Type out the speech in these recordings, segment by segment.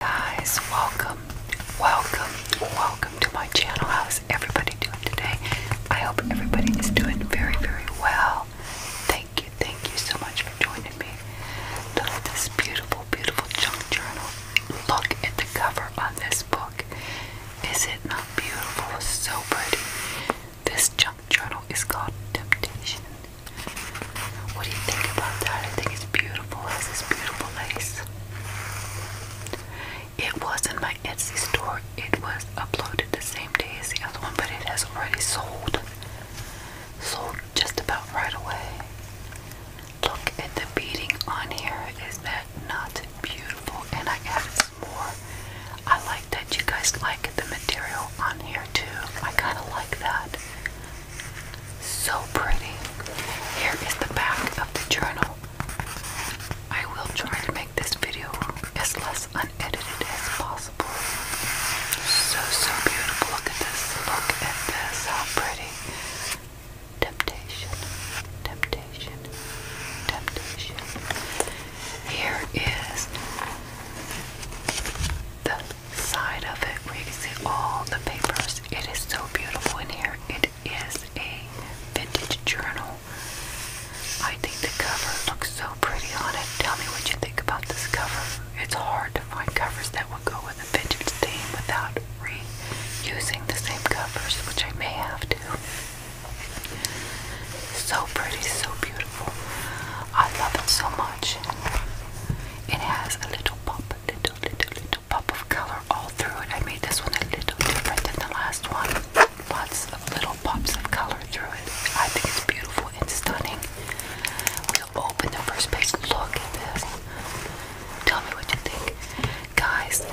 Guys, welcome, welcome, welcome to my channel. How's everybody doing today? I hope everybody is doing very, very well. Thank you, thank you so much for joining me. Look at this beautiful, beautiful junk journal. Look at the cover on this book. Is it not beautiful, so pretty. This junk journal is called Temptation. What do you think about that? I think it's beautiful. It has this beautiful lace. It was in my Etsy store. It was uploaded the same day as the other one, but it has already sold. Sold just about right away. Look at the beading on here. Is that not beautiful? And I got it more. I like that you guys like the material on here too. I kind of like that. So pretty. Here is the back of the journal. I will try to make this video as less unedited as possible. So, so beautiful. Look at this. Look at this. How pretty. Temptation. Temptation temptation, Here is the side of it where see all the papers. It is so beautiful in here. It is a vintage journal. I think the cover looks so pretty on it. Tell me what you think about this cover. It's hard to find covers that will go with a vintage theme without reusing the same covers, which I may have to. So pretty, so beautiful. I love it so much. It has a little pop, little, little, little pop of color all through it. I made this one a little different than the last one. Lots of little pops of color through it. I think it's beautiful and stunning. We'll open the first page. Look at this. Tell me what you think. Guys,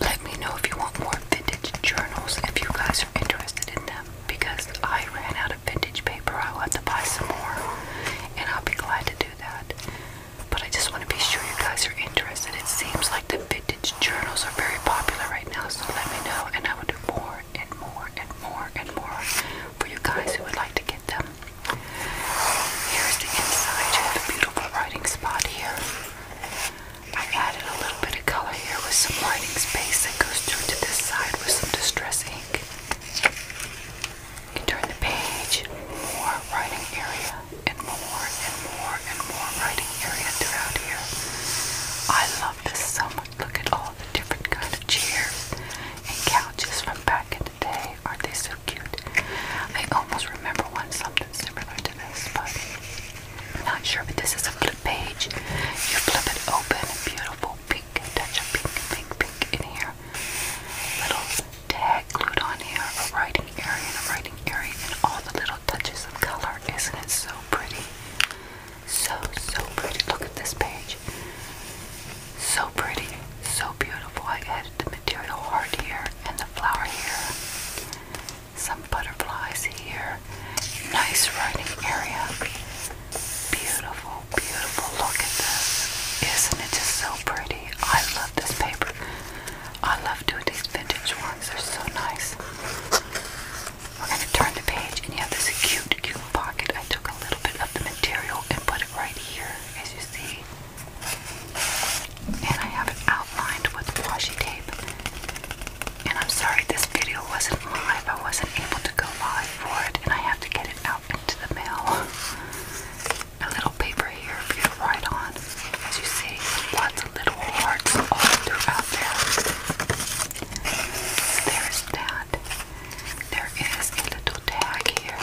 let me know if you want more vintage journals if you guys are interested in them because I ran out of vintage paper. I'll have to buy some more and I'll be glad to do that. But I just want to be sure you guys are interested. It seems like the vintage journals are very popular right now, so let me know and I will do more and more and more and more for you guys who would like to get them. Here's the inside. a beautiful writing spot here. I added a little bit of color here with some lighting space that goes through to this side with some distress ink. You turn the page, more writing area, and more and more and more writing area throughout here. I love this so much. Look at all the different kind of chairs and couches from back in the day. Aren't they so cute? I almost remember one something similar to this, but I'm not sure, but this is a flip page. You flip it open, beautiful pink, touch of pink, pink, pink in here. Little tag glued on here, a writing area and a writing area, and all the little touches of color. Isn't it so pretty? So, so pretty. Look at this page. So pretty, so beautiful. I added the material heart here and the flower here. Some butterflies here. Nice writing area. Beautiful, beautiful. Look at this. Isn't it just so pretty? I love this paper. I love doing these vintage ones. They're so nice. We're going to turn the page, and you have this cute, cute pocket. I took a little bit of the material and put it right here, as you see. And I have it outlined with washi tape. And I'm sorry this video wasn't live. I wasn't able to go live for it, and I have to get it out into the mail. A little paper here for you to write on. As you see, lots of little hearts all throughout there. There's that. There is a little tag here.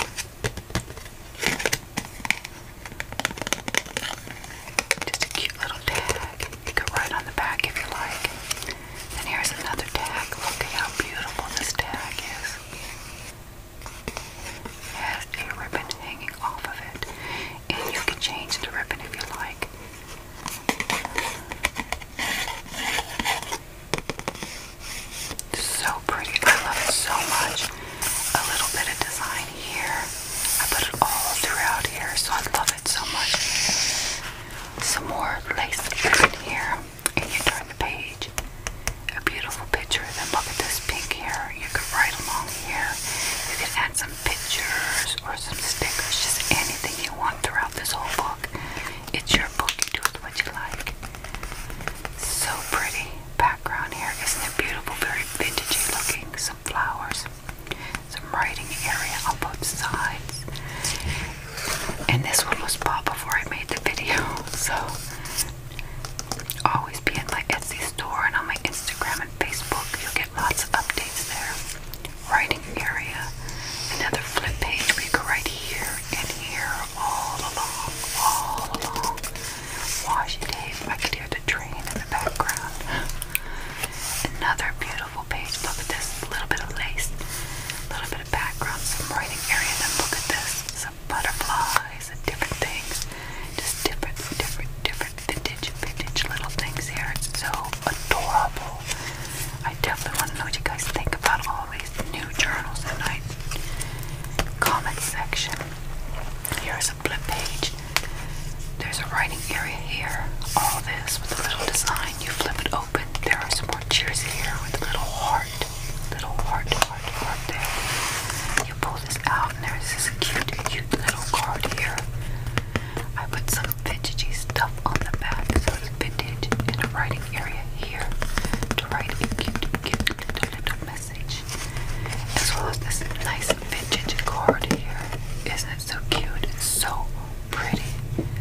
Just a cute little tag. You could write on the back if you like. And here's another tag. Look at how beautiful this tag is. has a ribbon hanging off of it. And you can change the ribbon if you like. So pretty. I love it so much. A little bit of design here. I put it all throughout here, so I love love it so much. Some more lace in here, and you turn the page. A beautiful picture. Then look at this pink here. You could write along here. You could add some pictures or some stickers, just anything you want throughout this whole book. It's your book. You do with what you like. So pretty background here. Isn't it beautiful? Very vintagey looking. Some flowers some writing area on both sides. And this one was bought before I made the video, so always be at my Etsy store and on my Instagram and Facebook. You'll get lots of updates there. Writing area, another flip page We go right here and here, all along, all along. Washi tape. I could hear the train in the background. Another beautiful page. Look at this. little bit of lace, a little bit of background, some writing area. Then look at this. Some butterflies and different things. Just different, different, different vintage, vintage little things here. It's so adorable. I definitely want to know what you guys think about all these new journals tonight. Comment section. Here's a flip page. There's a writing area here. All this with a little design. You flip it open. There are some more cheers here with a little heart. Little heart, heart, heart there. You pull this out and there's this cute, cute little card here. I put some vintagey stuff on the back. So it's vintage in a writing area here to write a cute, cute little, little message. As well as this nice vintage cord here. Isn't it so cute? It's so pretty.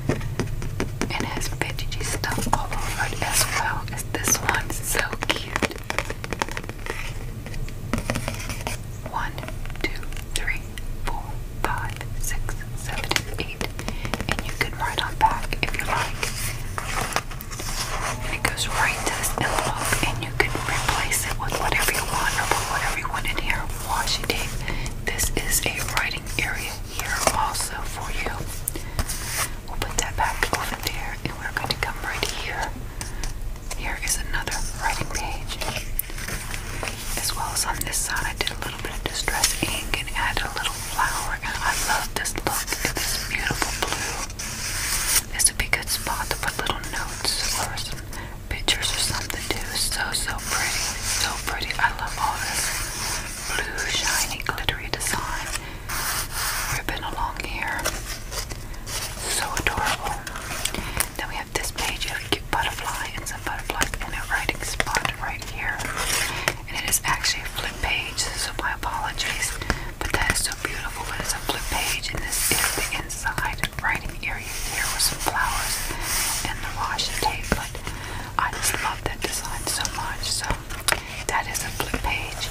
And it has vintagey stuff all over it as well as this one. So cute. One, two, three, four, five, six, seven, eight. And you can write on back if you like. And it goes right to this envelope and you can replace it with whatever you want or put whatever you want in here washi This is a writing area here also for you. We'll put that back over there and we're going to come right here. Here is another writing page. As well as on this side, I did a little bit of distress ink and added a little flower. I love this look this beautiful blue. This would be a good spot to put little notes or pictures or something too. So so pretty, so pretty. I love all this blue, shiny, glittery design ribbon along here. So adorable. Then we have this page. You have a cute butterfly and some butterflies in a writing spot right here. And it is actually a flip page, so my apologies. But that is so beautiful. it's a flip page, and this is the inside writing area here with some flowers and the washi tape, but I just love that design so much. So that is a flip page.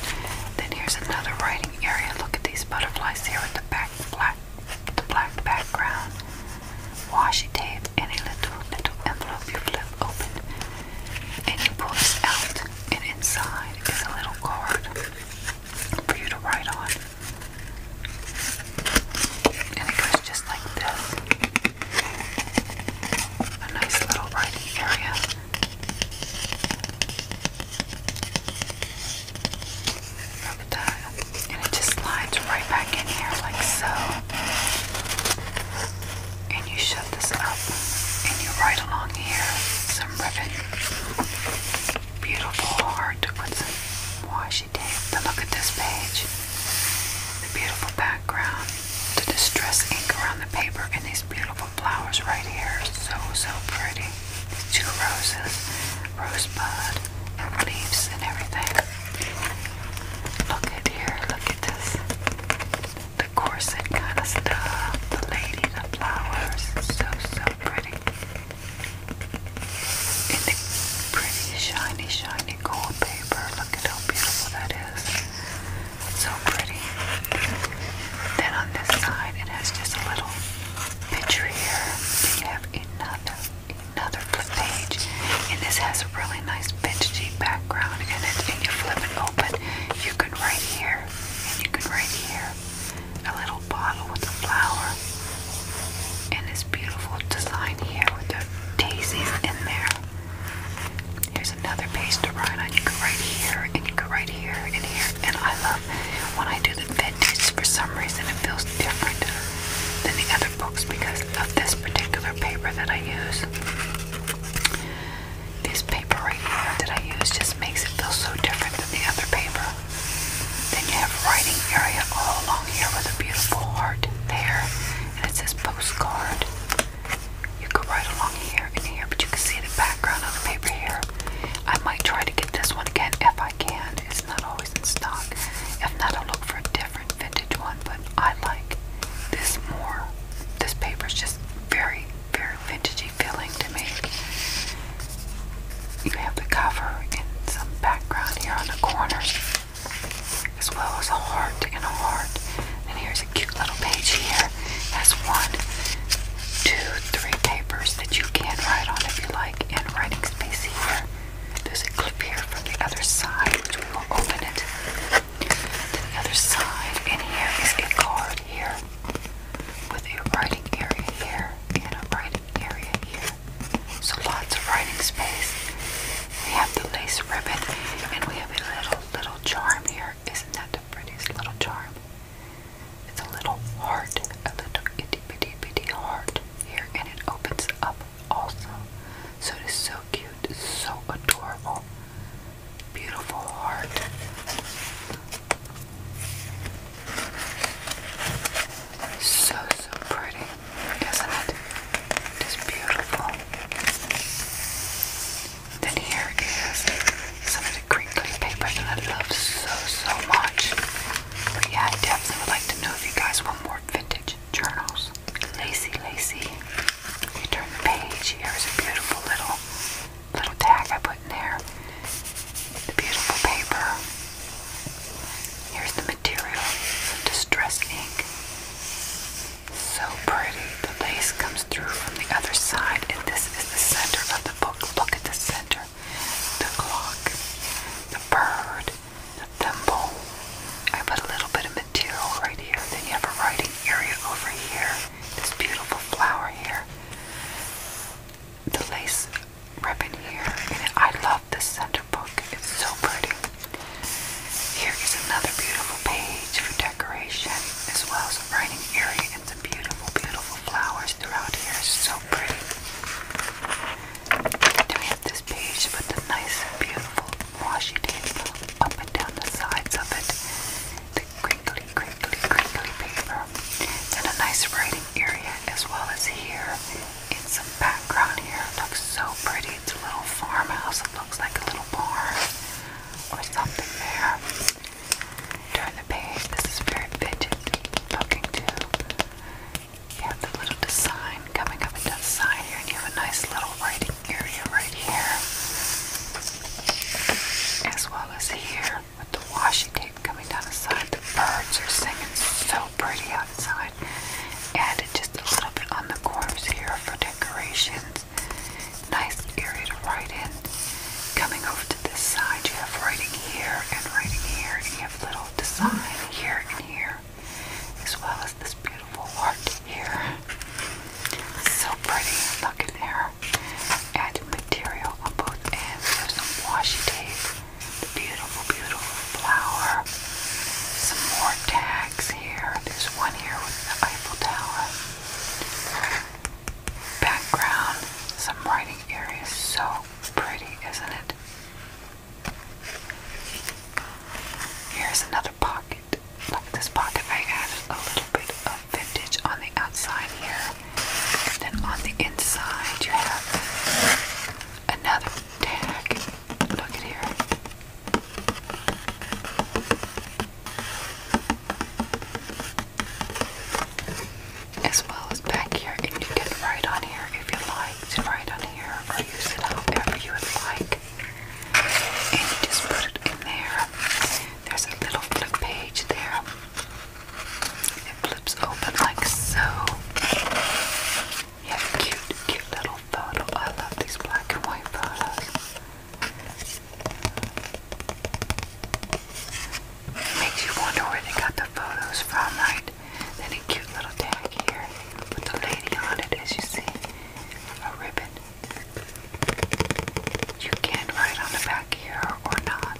Then here's another writing area. Look at these butterflies here with the back black, the black background, washi tape, and a little little envelope you flip open, and you pull this out, and inside is a little card for you to write on. And it goes just like this. A nice little writing area. Look that. And it just slides right back in here like so. And you shut this up and you write along here some ribbon. Beautiful, hard to some washi look at this page. The beautiful background, the distress ink around the paper, and these beautiful flowers right here. So, so pretty. These two roses, rosebud, and leaves and everything. Look at here, look at this. The corset kind of stuff, the lady, the flowers. So, so pretty in the pretty shiny, shiny gold paper. Look at how beautiful that is. It's so pretty. Then on this side, it has just a little picture here. You have another, another flip page, and this has a really nice vintagey background in it. And you flip it open, you can write here, and you can write here. A little bottle with a flower. And this beautiful design here with the daisies in there. Here's another page to write on. You can right here, and you can right here, and here. And I love when I do the vintage, for some reason it feels different than the other books because of this particular paper that I use. This paper right here that I use just makes it feel so different than the other paper. Then you have a writing area all along here with a beautiful heart there. And it says postcard. You go right along here and here, but you can see the background of the paper here. I might try to get this one again if I can. It's not always in stock. If not, I'll look for a different vintage one, but I like this more. This paper is just very, very vintagey feeling to me you have the cover and some background here on the corners, as well as a heart and a heart. And here's a cute little page here. Has one, two, three papers that you can write on if you like, and writing space here. There's a clip here from the other side, which we will open it. To the other side, and here is a card here with a writing area here and a writing area here so lots of writing space. We have the lace ribbon, and we have a little little charm here. Isn't that the prettiest little charm? It's a little heart, a little itty bitty bitty heart here, and it opens up also. So it is so cute, it's so adorable, beautiful heart. So so pretty. Isn't it? It is beautiful. Then here is some of the crinkly paper that I love so, so much. yeah, I definitely would like to know if you guys want more vintage journals. Lacy, lacy. You turn the page. Here's a beautiful little little tag I put in there. The beautiful paper. Here's the material, some distress ink. So pretty. The lace comes through from the other side, and this is the center of the book. Look at the center. The clock, the bird, the thimble. I put a little bit of material right here. Then you have a writing area over here. This beautiful flower here. The lace ribbon here, and I love this center book. It's so pretty. Here is another beautiful page for decoration, as well as a writing area and some beautiful, beautiful flowers throughout here. so pretty. Then we have this page with the nice, beautiful washi tape up and down the sides of it. The crinkly, crinkly, crinkly paper. Then a nice writing area as well as here in some background here. looks so pretty. It's a little farmhouse. It looks like a little barn or something there. Turn the page. This is very fidget looking too. You have the little design coming up into the side here, and you have a nice little writing area right here, as well as here with the washi tape coming down the side. The birds are singing so pretty outside. And just a little bit on the corners here for decorations. Nice area to write in. Coming over to this side, you have writing here and writing here, and you have little design here and here, as well as this beautiful art here. So pretty, look in there. And material on both ends. There's some washi tape the beautiful, beautiful flower. Some more tags here. There's one here with the Eiffel Tower. Background, some writing area. So pretty, isn't it? Here's another pocket. Look at this pocket. I added a little bit of vintage on the outside here. And then on the inside, you have another tag. As well as back here, and you can write on here if you like to write on here or use it however you would like. And you just put it in there. There's a little flip page there. It flips open like so. Yeah, cute, cute little photo. I love these black and white photos. makes you wonder where they got the photos from, right? Then a cute little tag here with the lady on it, as you see. A ribbon. You can write on the back here or not.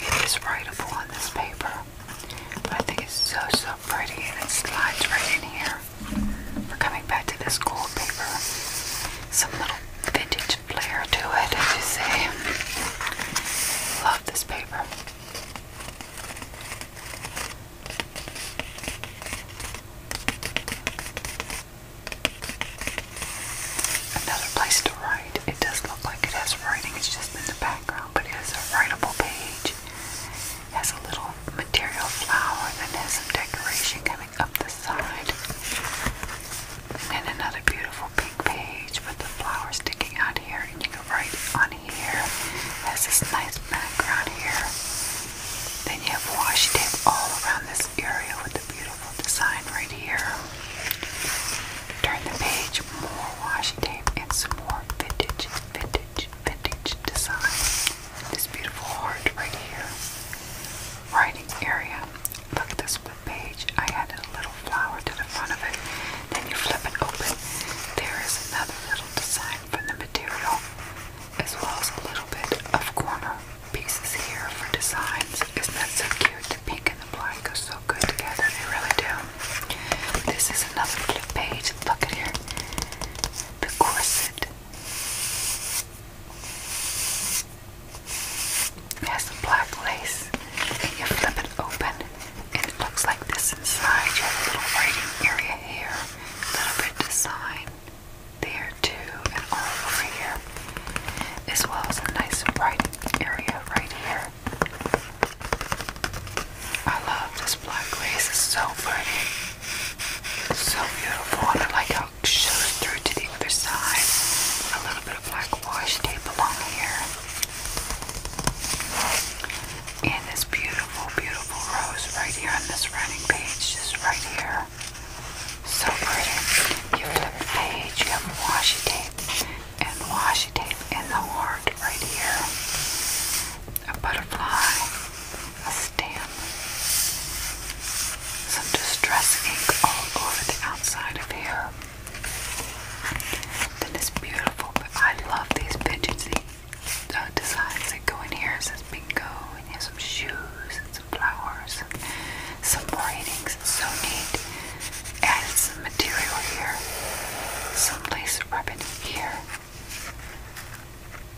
It is writable on this paper. I think it's so, so pretty and it slides right in here. We're coming back to this cool paper. Some little vintage flair to it, as you see. Love this paper. Another place to write. It does look like it has writing, it's just in the background but it has a writable page. It has a little material flower and then has some decoration coming up the side. And then another beautiful pink page with the flowers sticking out here, and you can right on here. It has this nice background here. Then you have washi tape all around this area with the beautiful design right here. Turn the page, more washi tape, and some more vintage, vintage, vintage, design. This beautiful heart right here. Writing area. Look at this flip page. I added a little flower to the front of it. Then you flip it open. There is another little design from the material, as well as a little bit of corner pieces here for designs. Isn't that so cute? The pink and the black go so good together. They really do. This is another flip page. Look at here. The corset. has the black lace. You flip it open and it looks like this inside. You have a little writing area here. A little bit design there too and all over here. As well as a nice bright area right here. I love this black lace, it's so pretty. It's so beautiful, and I like how it shows through to the other side. A little bit of black wash tape along here. And this beautiful, beautiful rose right here on this running page, just right here. So pretty. You flip the page, you have washi tape and washi tape in the heart right here a butterfly, a stamp, some distress ink all over the outside of here. Then it's beautiful, but I love these pigeons. So designs that go in here it says bingo, and you have some shoes, and some flowers, and some braiding. It's so neat. Added some material here, some lace ribbon here.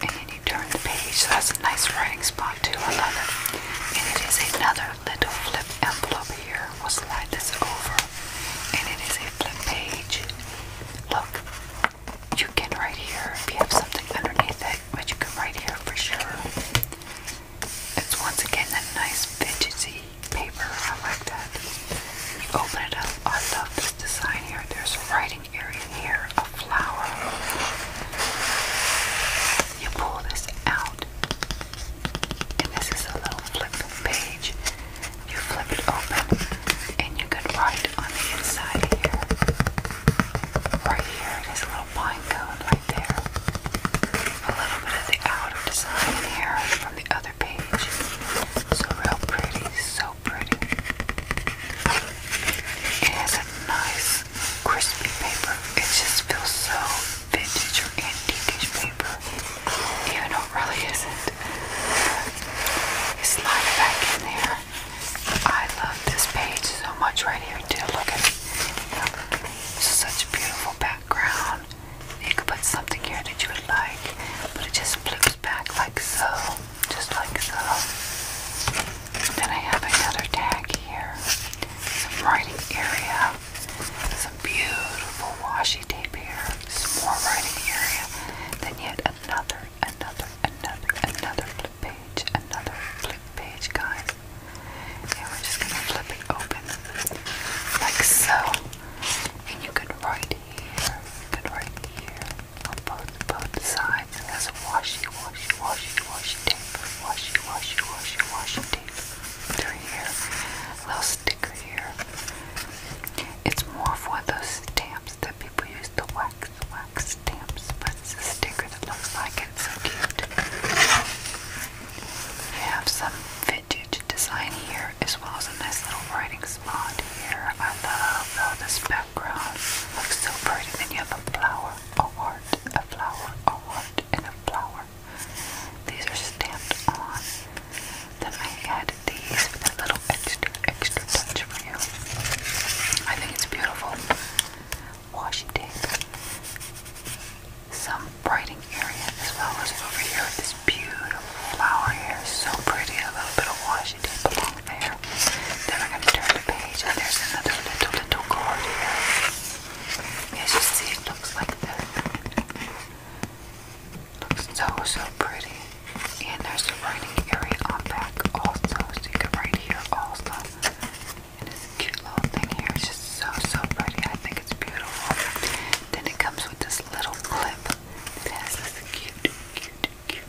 And you turn the page, that's a nice writing spot too. I love it. And it is another little flip envelope here. We'll slide this over. And it is a flip page. Look, you can write here if you have something underneath it, but you can write here for sure. It's once again that nice vintage paper. I like that. You open it up. I love this design here. There's a writing area here, a flower. You pull this out, and this is a little flip page. You flip it open, and you can write on the inside here. Right here, there's a little pine cone right there. A little bit of the outer design here from the other page. So real pretty, so so It has a nice crispy paper. It just feels so vintage or antique paper. Even though it really isn't. It's sliding back in there. I love this page so much right here too. Look at it. is such a beautiful background. You could put something here that you would like, but it just flips back like so just like so. then I have another tag here, some writing area, some beautiful washi tape here, some more writing area, then yet another, another, another, another flip page, another flip page, guys. And we're just gonna flip it open like so. And you can write here, and right here, on both, both sides, it has a washi, washi, washi, washi tape, washi, washi, washi, washi tape through here, little sticker here. It's more for those stamps that people use, the wax, wax stamps, but it's a sticker that looks like it, so cute. You have some vintage design here as well as a nice little writing spot here. I love this background looks so pretty. Then you have a flower, a heart, a flower, a heart, and a flower. These are stamped on. Then I added these for that little extra, extra touch for you. I think it's beautiful. Washi tape. Some brighting area as well over here this beautiful flower here. So pretty. A little bit of washi she did belong there. Then we're going to turn the page and there's another little, little card here. As you see, it looks like that. Looks so, so pretty. And there's a writing area on back also, so you can write here also. And it's cute little thing here. just so, so pretty. I think it's beautiful. Then it comes with this little clip. It has cute, cute, cute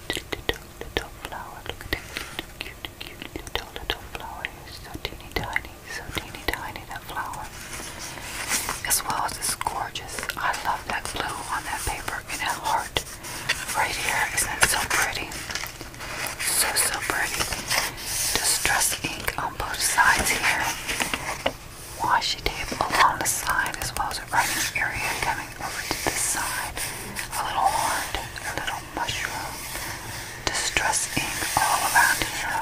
little, little flower. Look at them little, cute, cute little, little flower. So teeny tiny, so teeny tiny that flower. As well as it's gorgeous. I love that blue on that paper in a heart right here. Isn't that so pretty? So, so pretty. Distress ink on both sides here. Washi tape along the side as well as a writing area coming over to this side. A little heart, a little mushroom, distress ink all around here.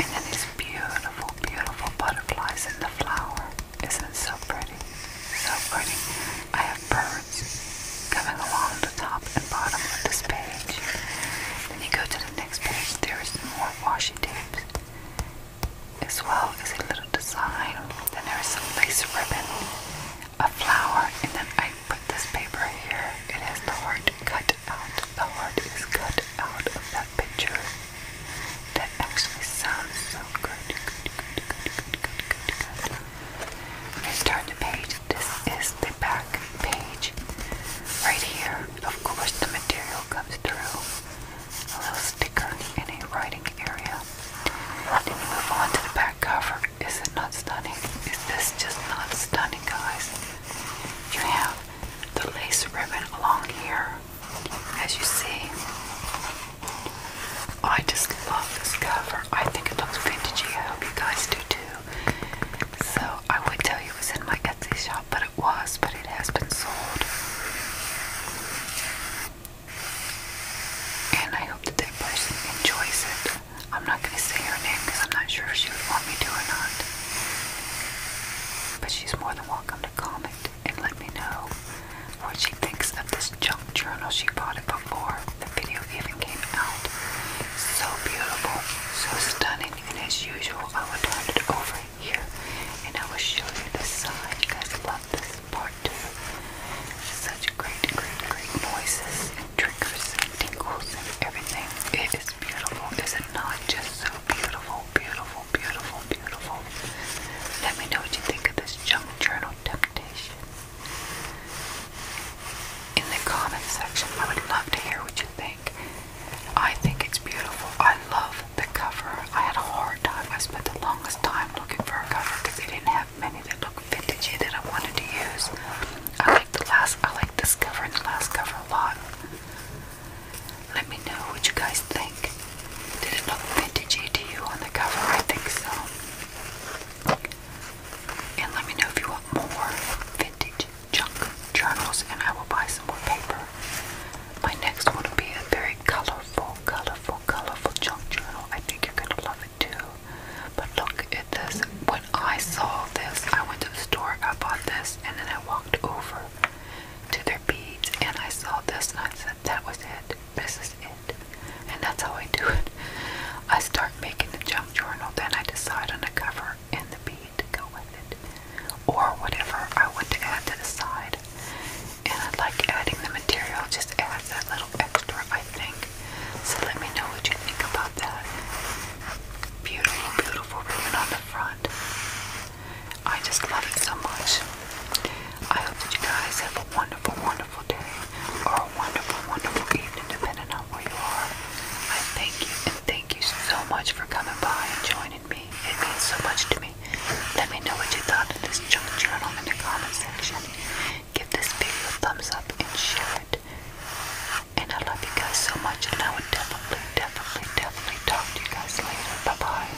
And then these beautiful, beautiful butterflies in the flower. Isn't it so pretty? So pretty. I have birds coming along the top and bottom of this page. Then you go to the next page, there is more washi tapes as well as a little design. Then there is some lace ribbon, a flower, and then I put this paper here. It has the heart cut out. The heart is cut out of that picture. That actually sounds so good. Good, good, good, good, Let's turn the page. This is the back page. Right here, of course, the material comes through a little sticker in a writing area. And if you move on to the back cover, is it not stunning? Is this just not stunning, guys? You have the lace ribbon along here, as you see. I just love this cover. I think it looks vintagey. I hope you guys do too. So I would tell you it was in my Etsy shop, but it was, but it has been sold. And I hope that that person enjoys it. I'm not going to say her name because I'm not sure if she would want me to or not. But she's more than welcome to comment and let me know what she thinks of this junk journal. She bought it before the video even came out. So beautiful, so stunning, and as usual, I will turn it over here, and I will show you the side. You guys love this part too. Such great, great, great noises triggers tingles and everything. It is beautiful. Is it just so beautiful, beautiful, beautiful, beautiful? Let me know what you think of this junk journal temptation. In the comment section, I would love to hear what you think. I think it's beautiful. I love the cover. I had a hard time. I spent the longest time looking for a cover because they didn't have many that looked vintagey that I wanted to use. I like the last. I like this cover and the last cover a lot. Let me know what you guys think. Did it look vintagey to you on the cover? I think so. And let me know if you want more vintage junk journals, and I will buy some more paper. My next one will be a very colorful, colorful, colorful junk journal. I think you're gonna love it too. But look at this. When I saw this, I went to the store, I bought this, and then I walked over to their beads and I saw this and I said, That was it. This is it. And that's how I do it. I start making the junk journal, then I decide on the cover and the bead to go with it. Or whatever I want to add to the side and I like adding the material, just adds that little extra, I think. So let me know what you think about that. Beautiful, beautiful ribbon on the front. I just love it so much. I hope that you guys have a wonderful, wonderful day or a wonderful, wonderful evening, depending on where you are. I thank you and thank you so much for coming by and joining me. It means so much to me. Let me know what you thought of this junk journal in the comment section. Give this video a thumbs up and share it. And I love you guys so much, and I will definitely, definitely, definitely talk to you guys later. Bye bye.